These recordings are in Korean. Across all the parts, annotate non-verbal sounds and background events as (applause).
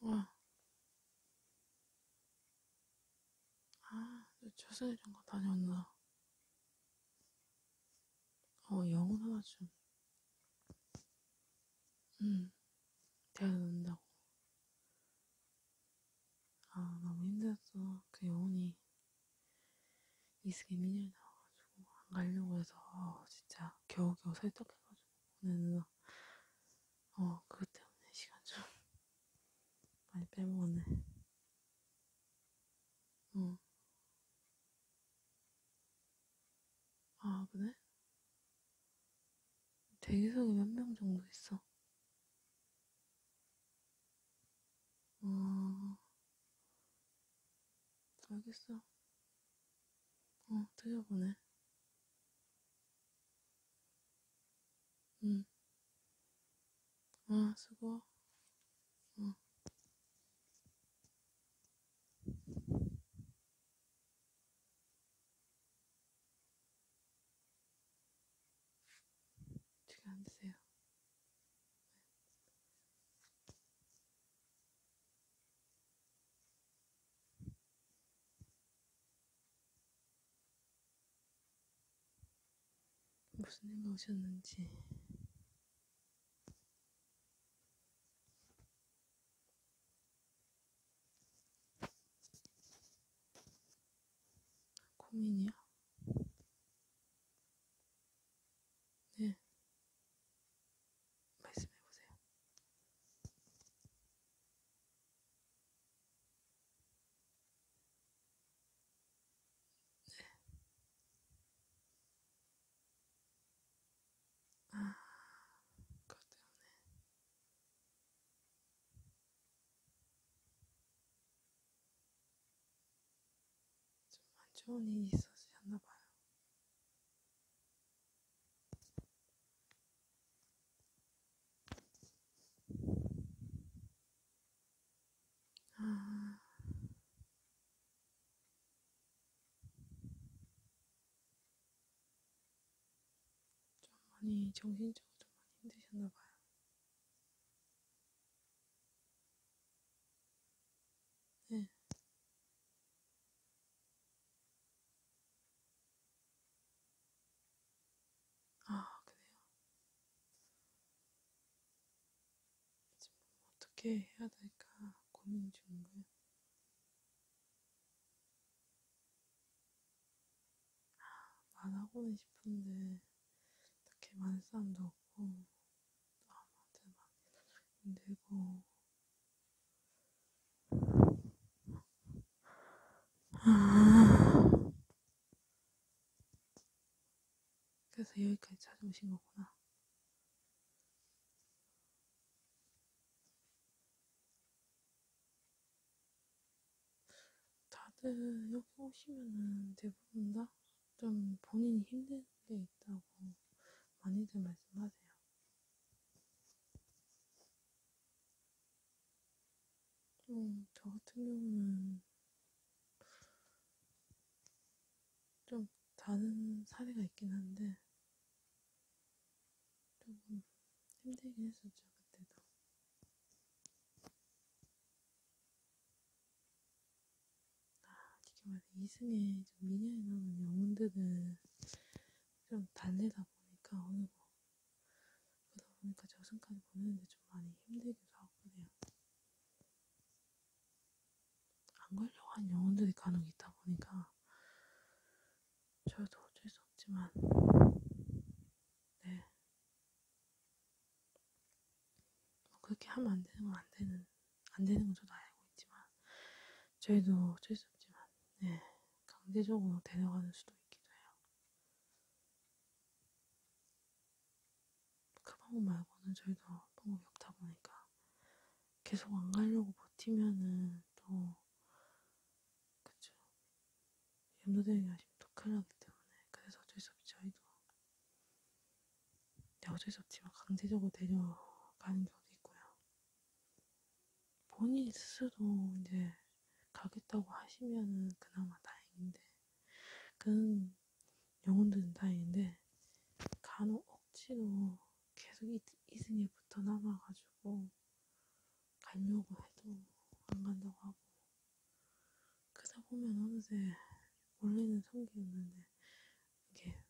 와. 아, 최선이란 거 다녔나. 어, 영혼 하나 좀. 음. 데려놓는다고. 아, 너무 힘들었어. 그 영혼이 이승에 민이 나와가지고 안 가려고 해서 진짜 겨우겨우 설득해가지고 오늘 어, 그것 때문에 시간 좀 (laughs) 많이 빼먹었네. 응. 어. 아, 그래? 대기석이 몇 명 정도 있어? 어, 알겠어. 어, 드셔보네. 응. 아, 수고. 어. 지금 안 드세요. 무슨 일로 오셨는지 고민이야. 네. 말씀해보세요. 네. 아, 그것 때문에. 좀안 좋은 일이 있었었나 봐요. 아. 좀 많이 정신적으로 좀 많이 힘드셨나 봐요. 네. 아, 그래요? 지금 어떻게 해야 될까 고민 중이고요. 말하고는 싶은데 딱히 많은 사람도 없고 또 아무한테 막 힘들고 아. 그래서 여기까지 찾아오신 거구나. 다들 여기 오시면은 대부분 다 좀 본인이 힘든 게 있다고 많이들 말씀하세요. 음, 저 같은 경우는 좀 다른 사례가 있긴 한데 조금 힘들긴 했었죠, 그때도. 아, 이게 말해, 이승에 좀 미녀에 나오는 영혼들은 좀 달래다 보니까 어느 거. 뭐, 그러다 보니까 저승까지 보내는데 좀 많이 힘들기도 하고 그래요. 안 걸려고 한 영혼들이 간혹 있다 보니까 저도 어쩔 수 없지만, 네. 뭐 그렇게 하면 안 되는 건 안 되는, 안 되는 건 저도 알고 있지만, 저희도 어쩔 수 없지만, 네. 강제적으로 데려가는 수도 있기도 해요. 그 방법 말고는 저희도 방법이 없다 보니까, 계속 안 가려고 버티면은 또, 그쵸? 염소들이 아직도 큰일 나기 때문에. 그래서 어쩔 수 없이 저희도. 네, 어쩔 수 없지만 강제적으로 데려가는 경우도 있고요. 본인 스스로 이제 가겠다고 하시면은 그나마 다행인데, 그런 영혼들은 다행인데, 간혹 억지로 계속 이승에 붙어 남아가지고, 가려고 해도 안 간다고 하고 그러다 보면 어느새 원래는 성기였는데 이게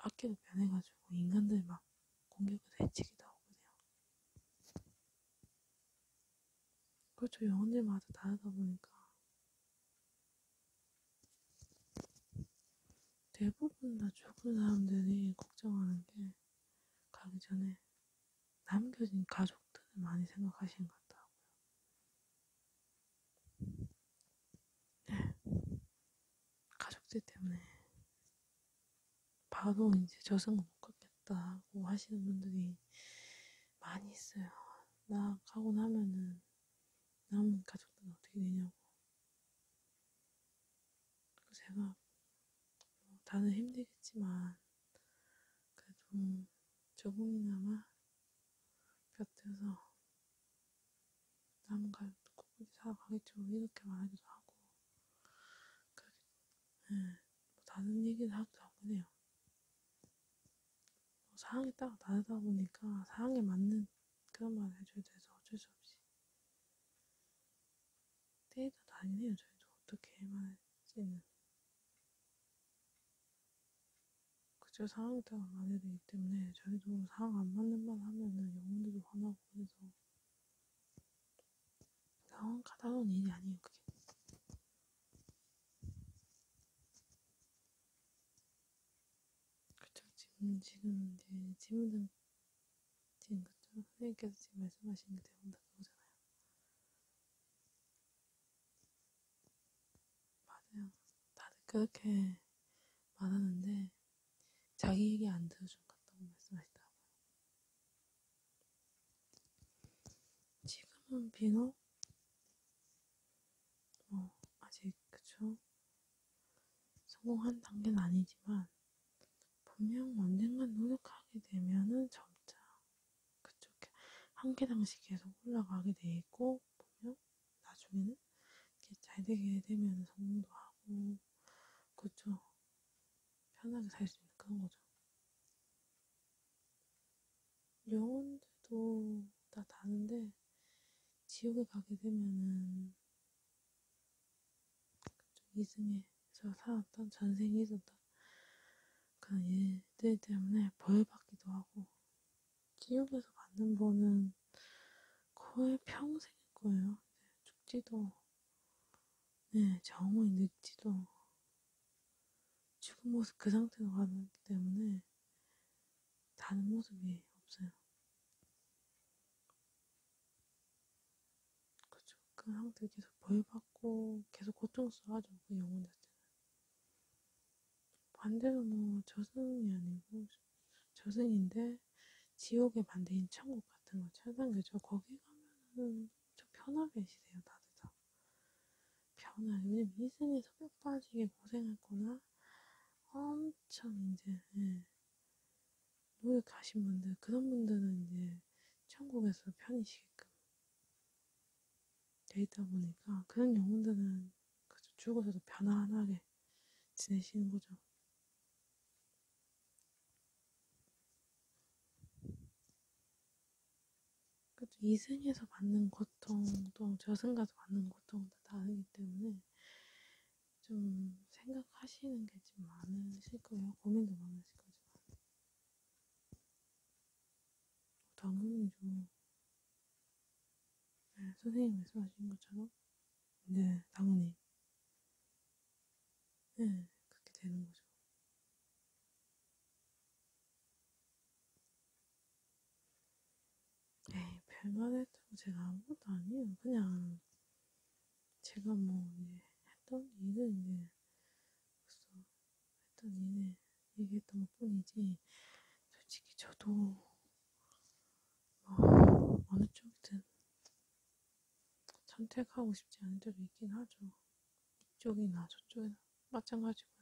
악기로 변해가지고 인간들 막 공격을 해치기도 하거든요. 그렇죠. 영혼들마다 다르다 보니까 대부분 다 죽은 사람들이 걱정하는 게 가기 전에 남겨진 가족들을 많이 생각하신 것 같더라고요. 네. 가족들 때문에 바로 이제 저승을 못 갔겠다고 하시는 분들이 많이 있어요. 나 가고 나면은 남은 가족들은 어떻게 되냐고. 그리고 제가 뭐 다들 힘들겠지만 그래도 음, 조금이나마 곁에서 남과 꾸준히 살아가겠죠 뭐 이렇게 말하기도 하고 그렇게 네, 뭐 다른 얘기를 하기도 하고 해요 뭐 상황에 따라 다르다 보니까 상황에 맞는 그런 말을 해줘야 돼서 어쩔 수 없이 때가 다니네요, 저희도. 어떻게 해만할지는. 그쵸, 상황에 따라 많이 되기 때문에 저희도 상황 안 맞는 말 하면은 영혼들도 화나고 해서. 상황 가다운 일이 아니에요, 그게. 그쵸, 지금, 지금 이제 친구들 지금 그쵸? 선생님께서 지금 말씀하시는 게 그 대부분 다 그거잖아요. 맞아요. 다들 그렇게 말하는데 자기 얘기 안 들어준 것 같다고 말씀하시더라고요. 지금은 비너? 뭐 아직 그쵸? 성공한 단계는 아니지만 분명 언젠간 노력하게 되면은 점차 그쪽에 한 계단씩 계속 올라가게 돼 있고 분명 나중에는 이렇게 잘 되게 되면 성공도 하고 그렇죠 편하게 살 수 있는 그런 거죠. 영혼들도 다 다른데 지옥에 가게 되면은 이승에서 살았던 전생이 있었던 그런 일들 때문에 벌 받기도 하고 지옥에서 받는 벌은 거의 평생일 거예요. 죽지도 네, 정을 늦지도 죽은 모습 그 상태로 가기 때문에 다른 모습이 없어요. 그쵸. 그 상태로 계속 벌받고 계속 고통스러워하죠. 그 영혼 자체는. 반대로 뭐 저승이 아니고 저승인데 지옥의 반대인 천국 같은 거 찾아내죠. 거기 가면은 좀 편하게 지내요. 다들 다. 편하게. 왜냐면 이 생에서 뼈 빠지게 고생했거나 엄청 이제 예. 노예 가신 분들, 그런 분들은 이제 천국에서 편히 쉬게끔 돼 있다 보니까 그런 영혼들은 그저 죽어서도 편안하게 지내시는 거죠. 그래도 이승에서 받는 고통도 저승가서 받는 고통도 다르기 때문에 좀 생각하시는 게 좀 많으실 거예요. 고민도 많으실 거지만. 당연히죠. 네, 선생님 말씀하신 것처럼. 네, 당연히. 네, 그렇게 되는 거죠. 에이, 별말 했다고 제가 아무것도 아니에요. 그냥, 제가 뭐 이제 했던 일은 이제 벌써 했던 일을 얘기했던 것 뿐이지 솔직히 저도 뭐 어느 쪽이든 선택하고 싶지 않은 때도 있긴 하죠. 이쪽이나 저쪽이나 마찬가지고요.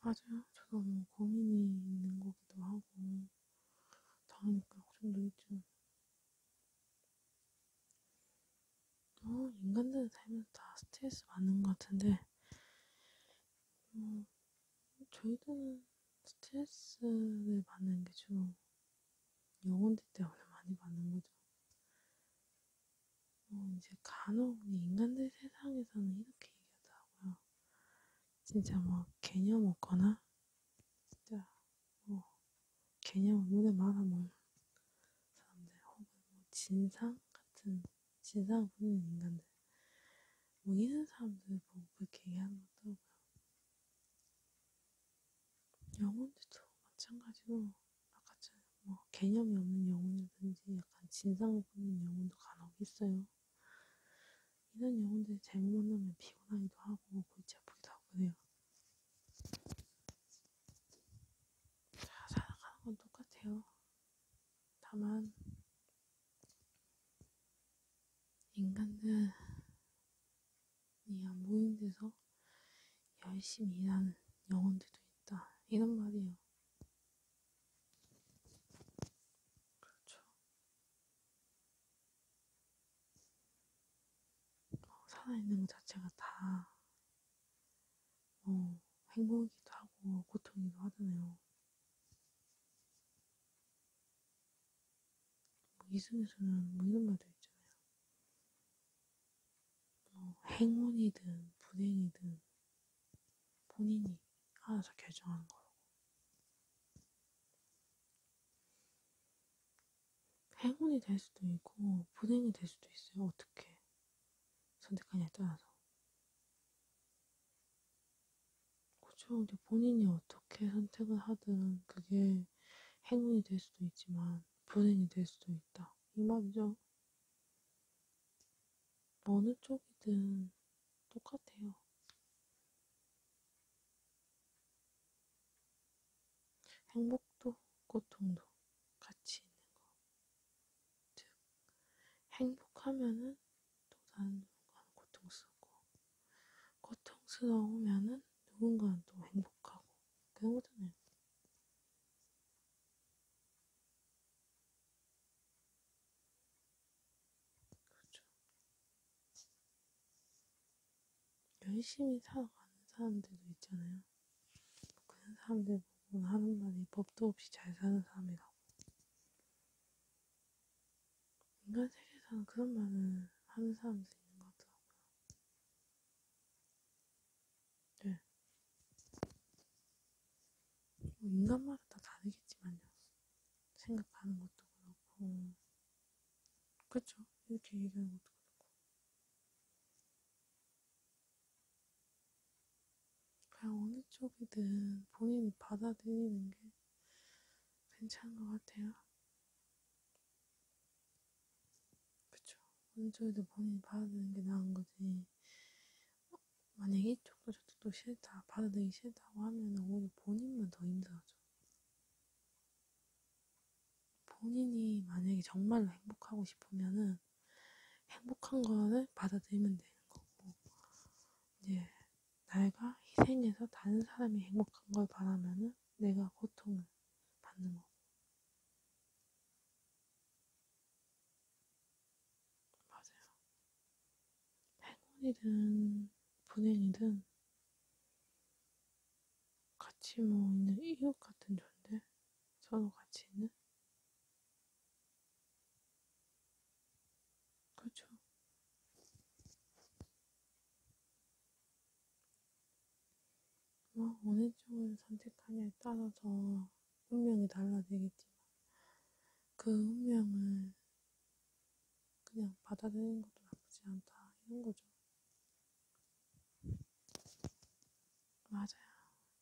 아직 저도 고민이 있는 거기도 하고 다음이니까 걱정도 있죠. 어, 인간들은 살면서 다 스트레스 받는 것 같은데 어, 저희들은 스트레스를 받는 게 주로 영혼들 때문에 많이 받는 거죠. 어, 이제 간혹 인간들 세상에서는 이렇게 얘기하더라고요. 진짜 뭐 개념 없거나 진짜 뭐 개념 없는 말아먹는 사람들 혹은 뭐 진상 같은 진상 없는 인간들 뭐 이런 사람들 보고 그렇게 얘기하는 것도 영혼들도 마찬가지고 아까 전뭐 개념이 없는 영혼이든지 약간 진상 없는 영혼도 간혹 있어요. 이런 영혼들이 잘못 만나면 피곤하기도 하고 골치 아프기도 하고 그래요. 자, 살아가는 건 똑같아요. 다만 인간들이 안 보이는 데서 열심히 일하는 영혼들도 있다. 이런 말이에요. 그렇죠. 살아있는 것 자체가 다, 어, 행복이기도 하고, 고통이기도 하잖아요. 뭐 이승에서는 뭐 이런 말도 있잖아요. 어, 행운이든, 불행이든, 본인이 알아서 결정하는 거라고. 행운이 될 수도 있고, 불행이 될 수도 있어요. 어떻게 선택하냐에 따라서. 그쵸. 근데 본인이 어떻게 선택을 하든 그게 행운이 될 수도 있지만, 불행이 될 수도 있다. 이 말이죠. 어느 쪽이든 똑같아요. 행복도 고통도 같이 있는 거. 즉, 행복하면은 또 다른 누군가는 고통스럽고, 고통스러우면은 누군가는 또 행복하고, 그런 거잖아요. 그죠? 열심히 살아가는 사람들도 있잖아요. 그런 사람들 보고 하는 말이 법도 없이 잘 사는 사람이라고. 인간 세계에서는 그런 말을 하는 사람도 있는 것 같더라고요. 네. 뭐 인간마다 다 다르겠지만요. 생각하는 것도 그렇고, 그쵸? 이렇게 얘기하는 것도 그렇고. 그냥 어느 쪽이든 본인이 받아들이는 게 괜찮은 것 같아요. 그쵸? 어느 쪽이든 본인이 받아들이는 게 나은 거지. 어, 만약에 이쪽도 저쪽도 싫다, 받아들이기 싫다고 하면 오히려 본인만 더 힘들어져. 본인이 만약에 정말로 행복하고 싶으면은 행복한 거를 받아들이면 되는 거고, 이제 내가 희생해서 다른 사람이 행복한 걸 바라면은 내가 고통을 받는 거고. 맞아요. 할머니든 분행이든 같이 뭐 있는 이웃 같은 존재? 서로 같이 있는? 그렇죠. 뭐 어느 쪽을 선택하냐에 따라서 운명이 달라지겠지만 그 운명을 그냥 받아들이는 것도 나쁘지 않다 이런 거죠. 맞아요.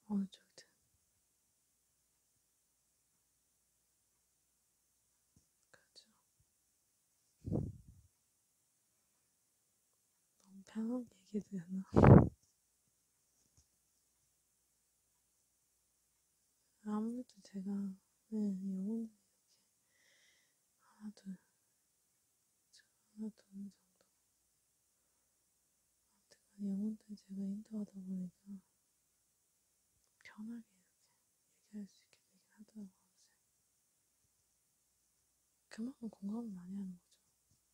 어느 쪽이든. 그렇죠. 너무 편하게 얘기해드렸나? (laughs) 아무래도 제가 네, 영혼을 이렇게 하나 둘, 하나 둘 정도 아무튼 영혼들 제가 인터하다 보니까 편하게 이렇게 얘기할 수 있게 되긴 하더라고요. 그만큼 공감을 많이 하는 거죠.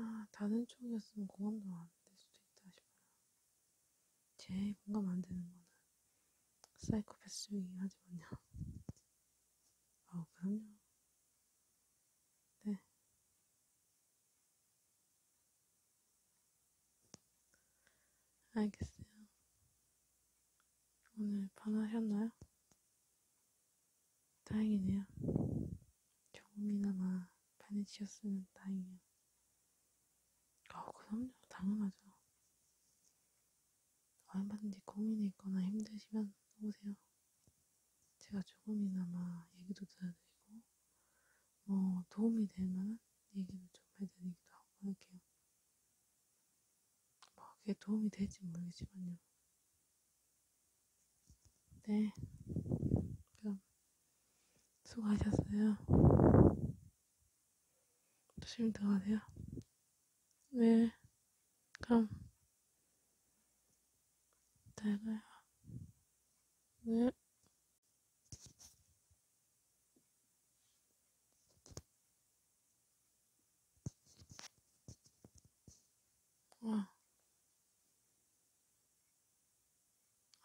아마 다른 쪽이었으면 공감도 안 될 수도 있다 싶어요. 제일 공감 안 되는 거는 사이코패스 윙 하지만요. (laughs) 아우, 어, 그럼요. 네. 알겠어요. 오늘 반하셨나요? 다행이네요. 조금이나마 편해지셨으면 다행이야. 아, 그럼요. 당연하죠. 얼마든지 고민이 있거나 힘드시면 오세요. 제가 조금이나마 얘기도 들어드리고, 뭐, 도움이 될 만한 얘기를 좀 해드리기도 하고 할게요. 뭐, 그게 도움이 될지 모르겠지만요. 네. 그럼 수고하셨어요. 조심히 들어가세요. 네. 그럼. 잘 가요. 네. 와.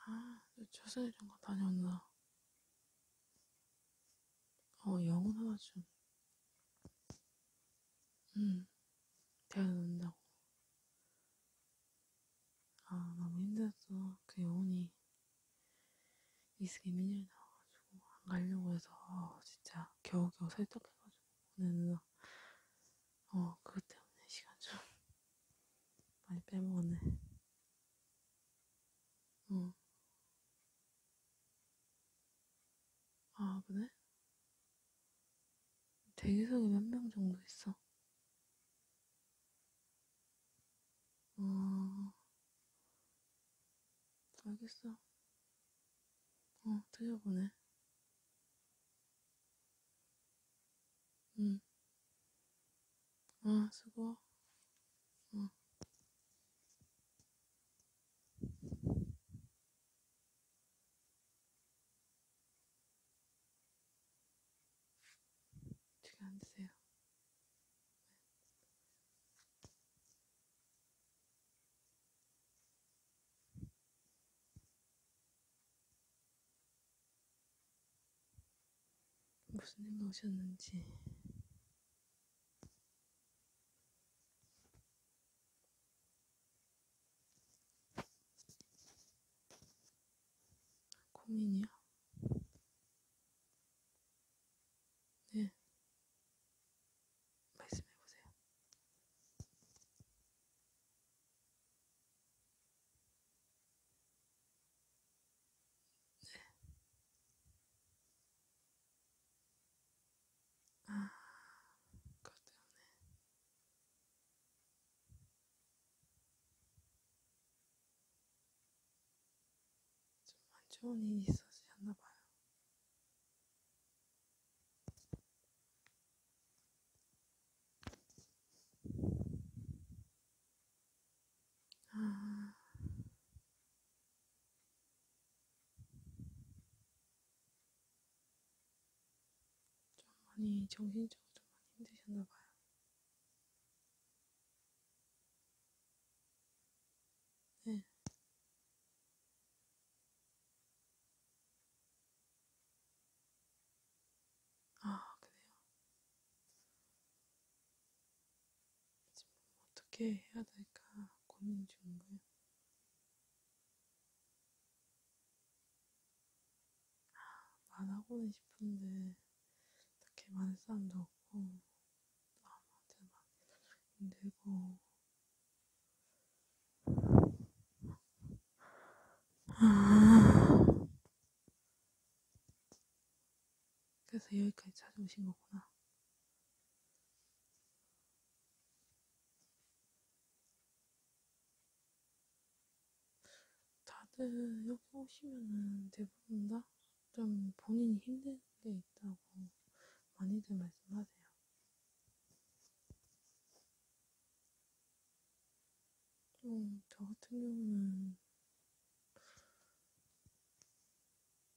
아, 최선이란거 다녔나? 어, 영혼 하나 좀. 응, 음, 대화 넣는다고. 아, 너무 힘들었어. 그 영혼이 이승이 민열이 나와가지고 안 가려고 해서 아, 진짜 겨우겨우 설득해가지고 오늘 어, 그것 때문에 시간 좀. 많이 빼먹었네. 응. 어. 아, 그래? 대기석이 몇 명 정도 있어? 어, 알겠어. 어, 드셔보네. 응. 아, 수고. 응. 저기 앉으세요. 무슨 일로 오셨는지 고민이야? 네 말씀해보세요 아, 그것 때문에. 좀안 좋은 일이 있었나 봐요. 아... 좀 많이 정신적으로 좀 많이 힘드셨나 봐요. 네. 아, 그래요? 지금 어떻게 해야 될까 고민 중이고요. 아, 말하고는 싶은데 딱히 많은 사람도 없고 아무한테 막 힘들고 아, 그래서 여기까지 찾아오신 거구나. 다들 여기 오시면은 대부분 다 좀 본인이 힘든 게 있다고 많이들 말씀하세요. 좀, 음, 저 같은 경우는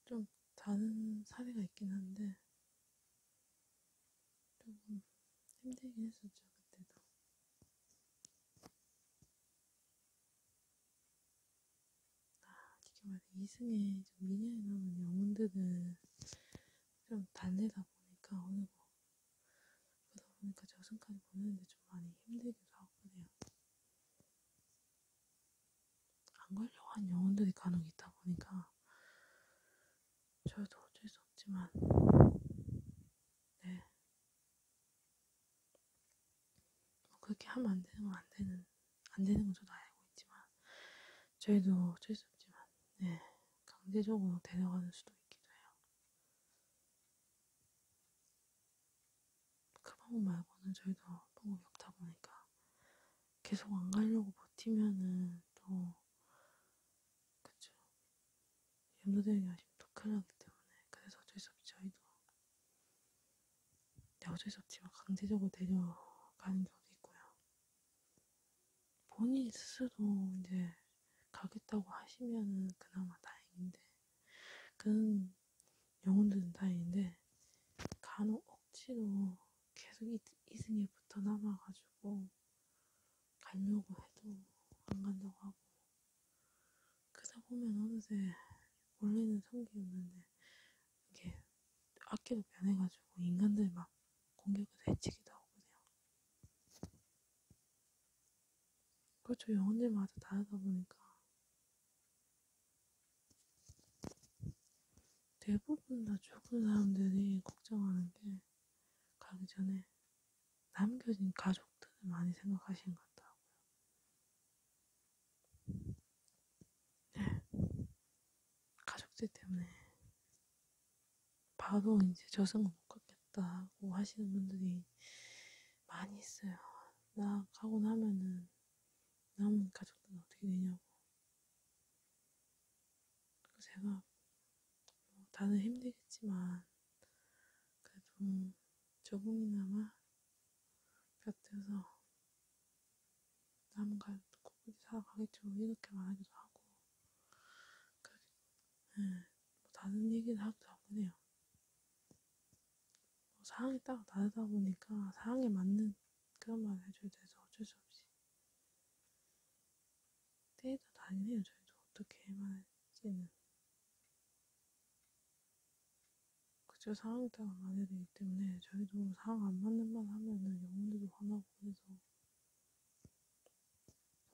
좀 다른 사례가 있긴 한데, 조금 힘들긴 했었죠, 그때도. 아, 이게 말해, 이승에 좀 미녀에 나오는 영혼들은 좀 달래다 보니까 어느 뭐 그러다 보니까 제가 승까지 보내는데 좀 많이 힘들기도 하거든요. 안 걸려고 한 영혼들이 간혹 있다 보니까 저도 어쩔 수 없지만 네. 뭐 그렇게 하면 안 되는 건안 되는 안 되는 건 저도 알고 있지만 저희도 어쩔 수 없지만 네 강제적으로 데려가는 수도 있기도 해요. 그 방법 말고는 저희도 방법이 없다 보니까 계속 안 가려고 버티면은 또 그쵸 염소대행이 하시면 또 큰일 나기 때문에 그래서 어쩔 수 없이 저희도 네, 어쩔 수 없지만 강제적으로 데려가는 경우도 있고요 본인 스스로 이제 가겠다고 하시면은 그나마 다행인데 그런 영혼들은 다행인데 간혹 억지로 계속 2승에 붙어 남아가지고 가려고 해도 안 간다고 하고 그러다 보면 어느새 원래는 3개였는데 이게 악기로 변해가지고 인간들 막 공격을 해치기도 하고 그래요. 그렇죠. 영혼들마다 다르다 보니까. 대부분 다 죽은 사람들이 걱정하는 게 가기 전에 남겨진 가족들을 많이 생각하시는 것 같더라고요. 네. 가족들 때문에 바로 이제 저승을 못 갔겠다고 하시는 분들이 많이 있어요. 나 가고 나면은 남은 가족들은 어떻게 되냐고. 제가 뭐 다들 힘들겠지만 그래도 조금이나마 곁에서 남은 가족도 굳이 살아가겠죠 이렇게 말하기도 하고 그래, 네, 예, 뭐 다른 얘기를 하기도 하고 그래요. 상황이 따로 다르다 보니까 상황에 맞는 그런 말을 해줘야 돼서 어쩔 수 없이 때에도 다니네요 저희도 어떻게 해만할지는 그쵸 상황에 따라 많이 되기 때문에 저희도 상황 안 맞는 말 하면은 영혼들도 화나고 그래서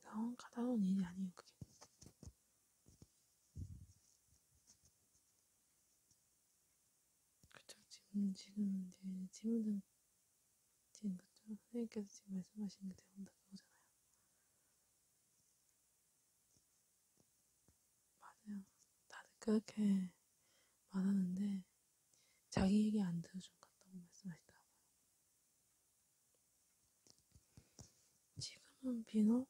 상황 가다운 일이 아니에요 그게 그쵸, 지금, 지금 이제 질문은 지금 그쵸? 선생님께서 지금 말씀하신 게 그 대부분 다 그거잖아요. 맞아요. 다들 그렇게 말하는데 자기 얘기 안 들어준 것 같다고 말씀하시더라고요. 지금은 비너?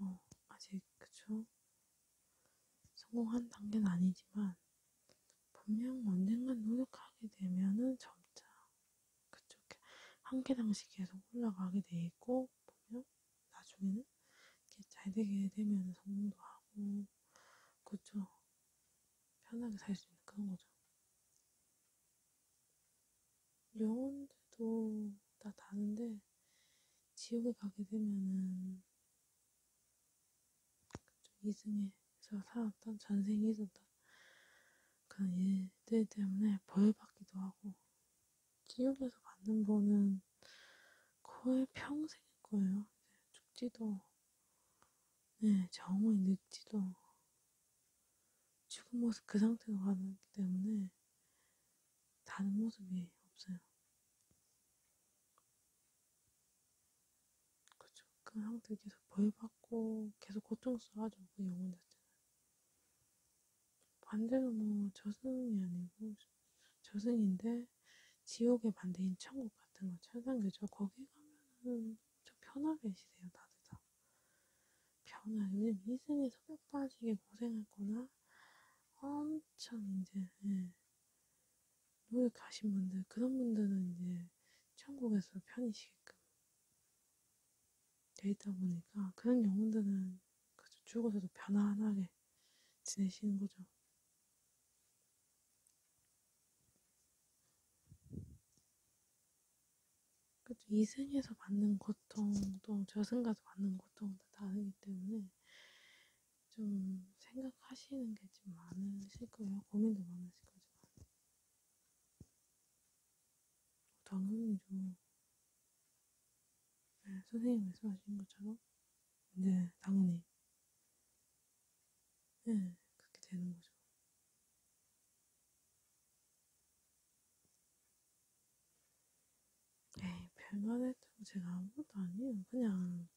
어, 아직, 그쵸? 성공한 단계는 아니지만, 분명 언젠간 노력하게 되면은 점차, 그쪽에, 한 계단씩 계속 올라가게 돼 있고, 보면, 나중에는, 잘 되게 되면 성공도 하고, 그쵸? 편하게 살 수 있는 그런 거죠. 영혼들도 다 다는데 지옥에 가게 되면은 좀 이승에서 살았던 전생에 있었던 그런 일들 때문에 벌 받기도 하고 지옥에서 받는 벌은 거의 평생일 거예요. 네, 죽지도 네, 정오에 늦지도 지금 모습 그 상태로 가기 때문에 다른 모습이 없어요. 그쵸. 그 상태 계속 벌받고 계속 고통스러워하죠. 그 영혼 자체는. 반대로 뭐 저승이 아니고 저승인데 지옥의 반대인 천국 같은 거 천상교죠. 거기 가면은 좀 편하게 지내요. 다들 다. 병을 요즘 희생해서 뼈 빠지게 고생했거나 엄청 이제 예, 노역 가신 분들 그런 분들은 이제 천국에서 편히 쉬게끔 돼 있다 보니까 그런 영혼들은 그저 죽어서도 편안하게 지내시는 거죠. 그래도 이승에서 받는 고통도 저승가서 받는 고통도 다르기 때문에 좀 생각하시는 게 좀 많으실 거예요. 고민도 많으실 거지만. 당연히죠. 네, 선생님 말씀하신 것처럼 이제 네, 당연히 네, 그렇게 되는 거죠. 에이, 별말 했다고 제가 아무것도 아니에요. 그냥,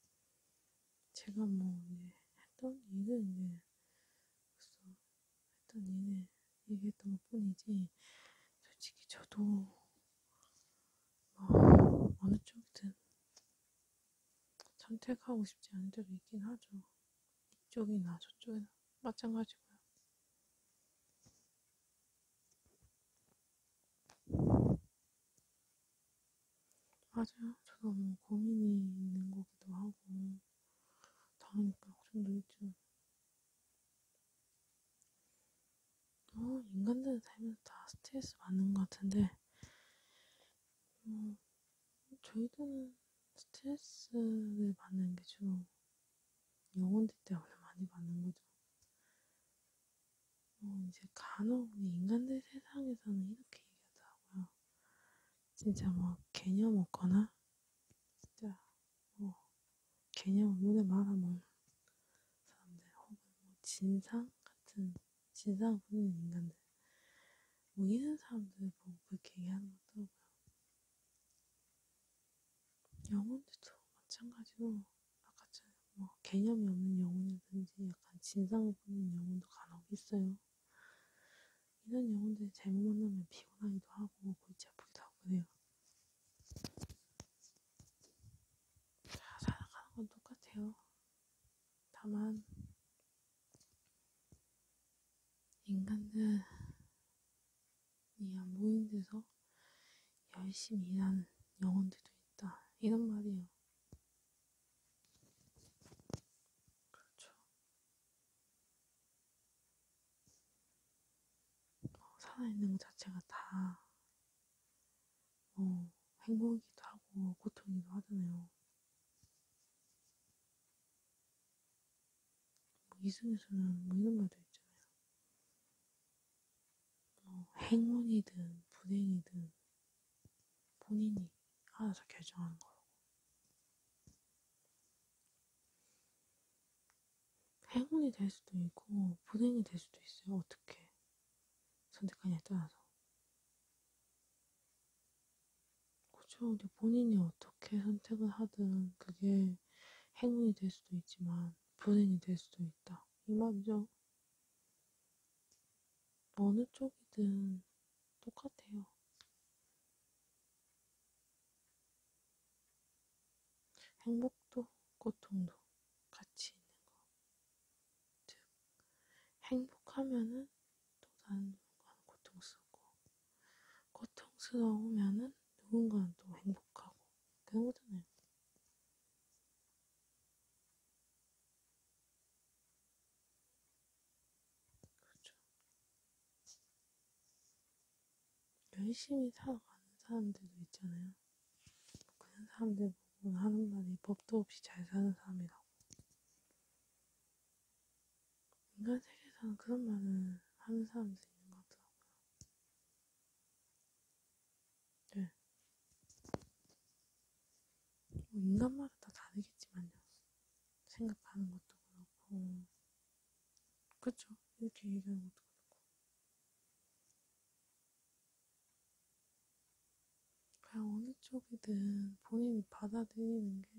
제가 뭐, 이제, 했던 일은 이제, 벌써, 했던 일을 얘기했던 것 뿐이지, 솔직히 저도, 뭐, 어느 쪽이든 선택하고 싶지 않은 적이 있긴 하죠. 이쪽이나 저쪽이나 마찬가지고요. 맞아요. 저 너무 고민이 있는 거기도 하고 당하니까 걱정도 있죠. 어, 인간들은 살면서 다 스트레스 받는 것 같은데 음, 저희들은 스트레스를 받는 게 주로 영혼들 때문에 많이 받는 거죠. 어, 이제 간혹 인간들 세상에서는 이렇게 얘기하더라고요. 진짜 뭐 개념 없거나 진짜 뭐 개념 없는데 말아먹는 사람들 혹은 뭐 진상 같은 진상 부리는 인간들 뭐 이런 사람들 보고 그렇게 얘기하는 거더라고요. 영혼도 마찬가지로 아까처럼 뭐 개념이 없는 영혼이든지 약간 진상을 보는 영혼도 간혹 있어요. 이런 영혼들이 잘못 만나면 피곤하기도 하고 골치 아프기도 하고 그래요. 다 살아가는 건 똑같아요. 다만 인간은 이안 보이는 데서 열심히 일하는 영혼들도 있다. 이런 말이에요. 그렇죠. 어, 살아있는 것 자체가 다, 어, 행복이기도 하고, 고통이기도 하잖아요. 뭐 이승에서는 뭐 이런 말도 있잖아요. 어, 행운이든 불행이든 본인이 알아서 결정하는 거라고. 행운이 될 수도 있고 불행이 될 수도 있어요. 어떻게 선택하냐에 따라서. 그렇죠. 근데 본인이 어떻게 선택을 하든 그게 행운이 될 수도 있지만 불행이 될 수도 있다. 이 말이죠. 어느 쪽이든 똑같아요. 행복도 고통도 같이 있는 거. 즉, 행복하면은 또 다른 누군가는 고통스럽고, 고통스러우면은 누군가는 또 행복하고 그런 거잖아요. 그렇죠. 열심히 살아가는 사람들도 있잖아요. 그런 사람들 보면 하는 말이 법도 없이 잘 사는 사람이라고. 인간 세계에서는 그런 말을 하는 사람들이 있는 것 같더라고요. 네. 뭐 인간마다 다 다르겠지만요. 생각하는 것도 그렇고, 그쵸? 이렇게 얘기하는 것도 그렇고. 그냥 어느 쪽이든 본인이 받아들이는 게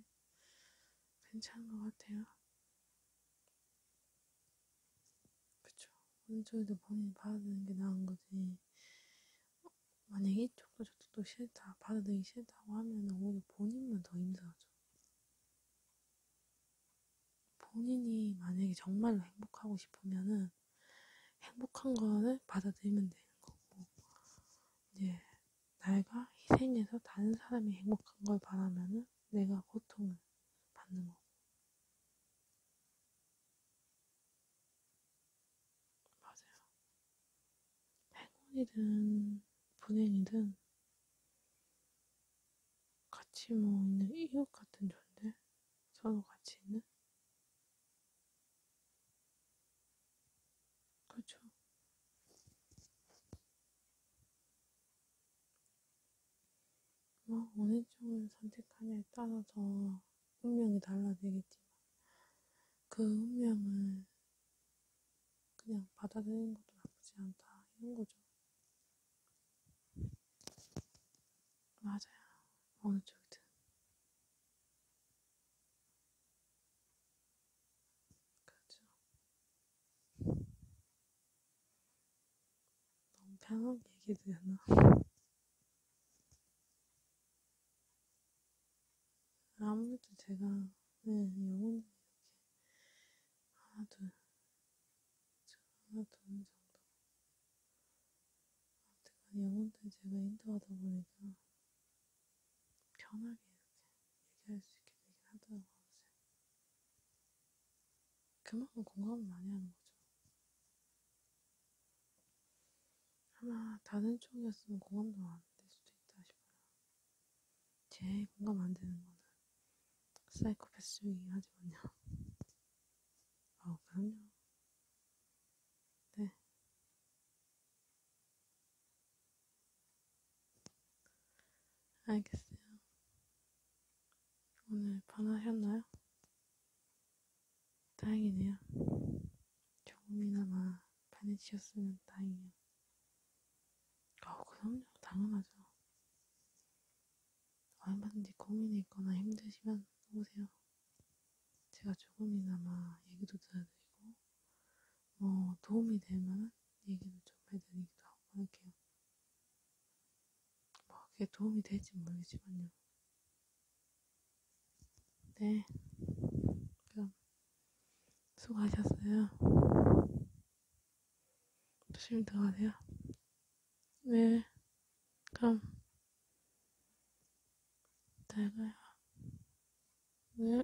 괜찮은 것 같아요. 그쵸. 어느 쪽에도 본인이 받아들이는 게 나은 거지. 만약에 이쪽도 저쪽도 싫다, 받아들이기 싫다고 하면 오히려 본인만 더 힘들어져. 본인이 만약에 정말로 행복하고 싶으면은 행복한 거를 받아들이면 되는 거고, 이제 내가 희생해서 다른 사람이 행복한 걸 바라면은 내가 고통을 받는 거고. 맞아요. 행운이든 분행이든 같이 뭐 있는 이웃 같은 존재? 서로 같이 있는? 그렇죠. 뭐 어느 쪽을 선택하냐에 따라서 운명이 달라지겠지만 그 운명을 그냥 받아들이는 것도 나쁘지 않다 이런 거죠. 맞아요. 어느 쪽이든. 그렇죠. 너무 편하게 얘기되나? (laughs) 아무래도 제가 네, 영혼이 이렇게 하나 둘, 하나 둘 정도 아무튼 영혼들 제가 인터하다 보니까 편하게 이렇게 얘기할 수 있게 되긴 하더라고요. 그만큼 공감을 많이 하는 거죠. 아마 다른 쪽이었으면 공감도 안 될 수도 있다 싶어요. 제일 공감 안 되는 거는 사이코패스 중이긴 하지만요. (laughs) 아, 그럼요. 네. 알겠어요. 오늘 반하셨나요? 다행이네요. 조금이나마 반해지셨으면 다행이에요. 아, 그럼요. 당연하죠. 얼마든지 고민이 있거나 힘드시면 오세요. 제가 조금이나마 얘기도 들어드리고, 뭐, 도움이 될 만한 얘기도 좀 해드리기도 하고, 할게요. 뭐 그게 도움이 될지 모르겠지만요. 네. 그럼 수고하셨어요. 조심히 들어가세요. 네. 그럼 잘 가요. 네.